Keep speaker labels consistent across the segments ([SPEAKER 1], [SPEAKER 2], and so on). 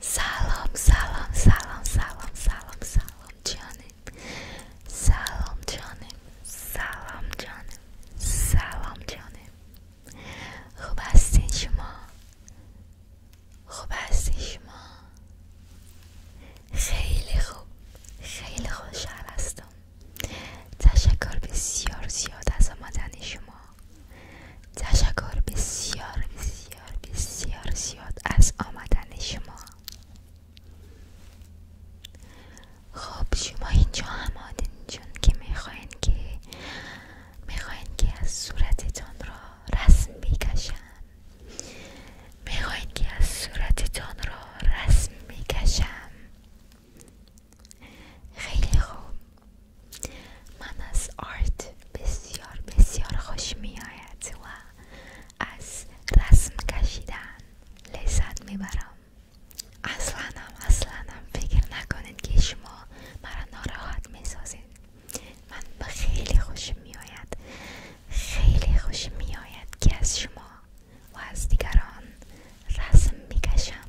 [SPEAKER 1] سلام سلام سلام سلام سلام سلام جانم سلام جانم سلام جانم سلام جانم خوب هستین شما خوب هستین شما خیلی خوب خیلی خوشحال هستم تشکر بسیار زیاد از آمدن شما تشکر بسیار بسیار بسیار زیاد از آمدن شما خب شما اینجا هم چون که میخواین که میخواین که از صورت تان را رسم میکشن میخواین که از صورت تان را رسم میکشم خیلی خوب من از آرت بسیار بسیار خوش می آید و از رسم کشیدن لذت میبرم اصلا هم اصلا فکر نکنید که شما مرا ناراحت میسازید من به خیلی می میآید خیلی خوش میآید که از شما و از دیگران رسم میکشم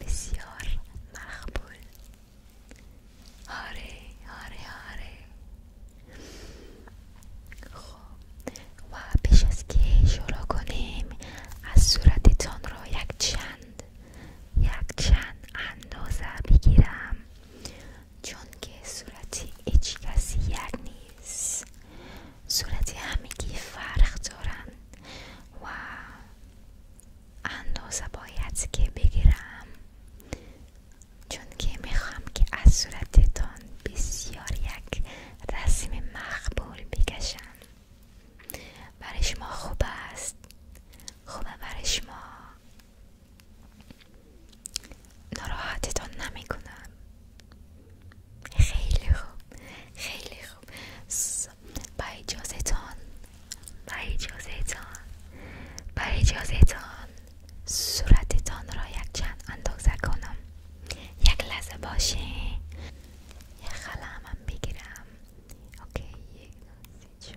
[SPEAKER 1] بسیار مقبول آره آره آره خب و پیش از که شروع کنیم از صورتتان رو یک چند یک چند اندازه بگیرم چون که صورتی هیچ کسی یک نیست صورتی همگی فرق دارن و اندازه باید که بگیرم چون که میخوام که از صورتتان بسیار یک رسم مقبول بکشم برای شما خوب است خوبه برای شما ناراحتتان نمیکنم خیلی خوب خیلی خوب با اجازه تان با اجازه تان با اجازه تان صورتتان را یک چند اندازه کنم یک لحظه باشین یک قلمم بگیرم اوکی یک یک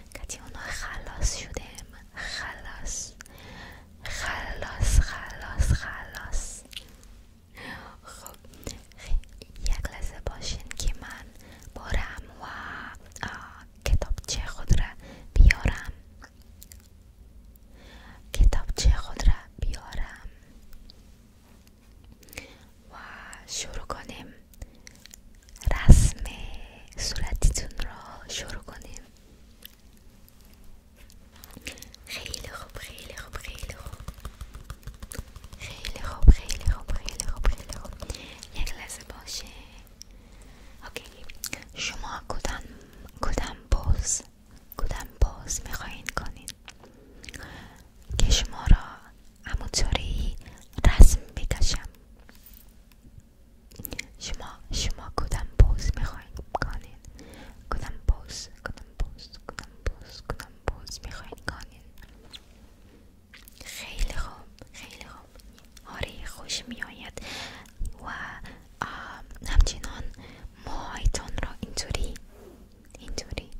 [SPEAKER 1] که اونو خلاص شدیم خلاص خلاص خلاص خلاص خوب یک لحظه باشین که من برم و کتابچه خود را بیارم کتابچه خود را بیارم و شروع کنیم رسم صورتیتون را شروع کنیم خیلی خوب خیلی خوب خیلی خوب خیلی خوب خیلی خوب خیلی خوب خیلی خوب یک لحظه باشه اوکی شما کدام کدام باز کدام باز میخواین کنید؟ که شما را همونطوری رسم بکشم شما شما کدام پوز میخواین کنین کدام پوز کدام پوز کدام پوز کدام پوز میخواین کنین خیلی خوب خیلی خوب آره خوش میآید و همچنان موهایتان را اینطوری اینطوری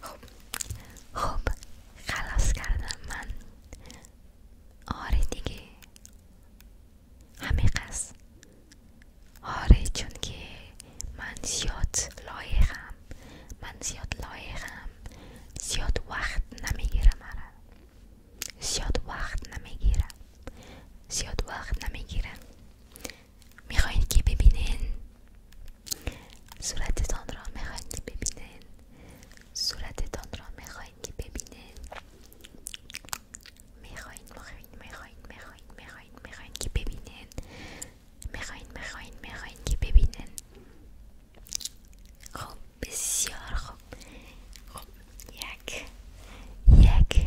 [SPEAKER 1] خب خب خلاص کردم من آره دیگه همه آره چون که من زیاد لایقم من زیاد لایقم زیاد وقت نمیگیرم مرا آره. زیاد وقت نمیگیرم زیاد وقت نمیگیرم میخواین که ببینن؟ صورت را میخواین که ببینن؟ صورتتان را میخواین که ببینن؟ میخواین میخواین میخواین میخواین میخواین میخواین که ببینن؟ میخواین میخواین میخواین که ببینن؟ خب بسیار خوب خوب یک یک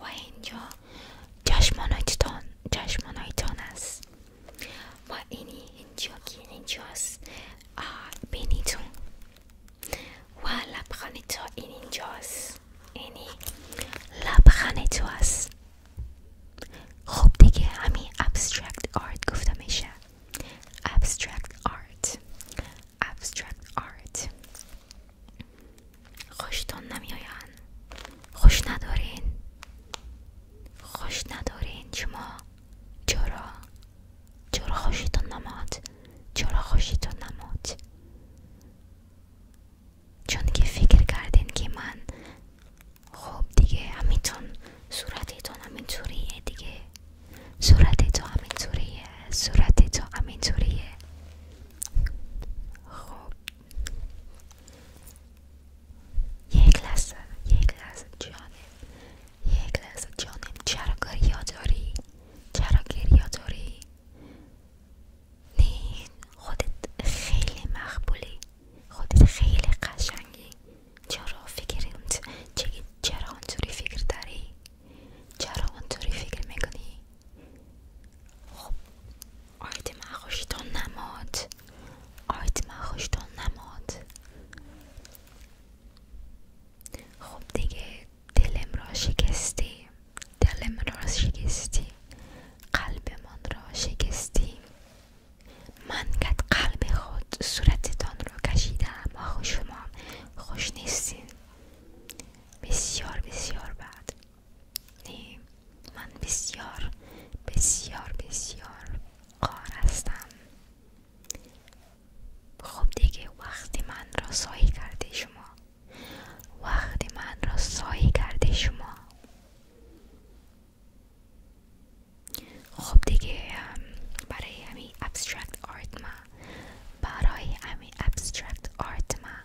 [SPEAKER 1] و اینجا جشمانایتان جشمانایتان هست و اینی اینجا که اینجاست بینیتون و لبخند تو این اینجا اینی لبخند تو است خب دیگه همین abstract art گفتمشه abstract art abstract art خوشتون نمیآین خوش ندارین خوش ندارین شما چرا چرا خوشتون نماد چرا خوشتون نماد چون که فکر کردین که من خب دیگه همینتون صورتتون همینطوریه دیگه صورت تو همینطوریه صورت تو همینطوریه خب یک لحظه یک لحظه جانم یک لحظه جانم چرا گریا داری؟ چرا گریا داری؟ نه خودت خیلی مقبولی خودت خیلی قشنگی چرا فکر چرا اونطوری فکر داری؟ چرا اونطوری فکر میکنی؟ خب Aydı mən xoşdan namad. Aydı خوش خب دیگه دلم را شکستی دلم را شکستی قلبمان را شکستی من قد قلب خود صورتتان رو کشیدم آخو شما خوش نیستین بسیار بسیار بد نی من بسیار بسیار بسیار قار هستم خب دیگه وقتی من را سایی کرده شما وقتی من را سایی کرده شما خب دیگه برای همین ابسترکت آرت ما برای همین ابسترکت آرت ما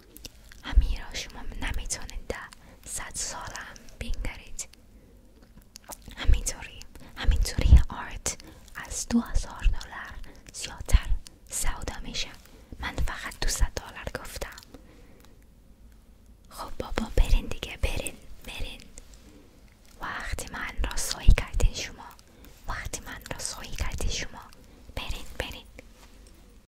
[SPEAKER 1] همین شما نمیتونید در صد سال هم بینگرید همینطوری همینطوری آرت از دو هزار دلار زیادتر سود میشه من فقط دوصد دلار گفتم خب بابا برین دیگه برین برین وقتی من رسوایی کردین شما وقتی من رسوایی کردین شما برین برین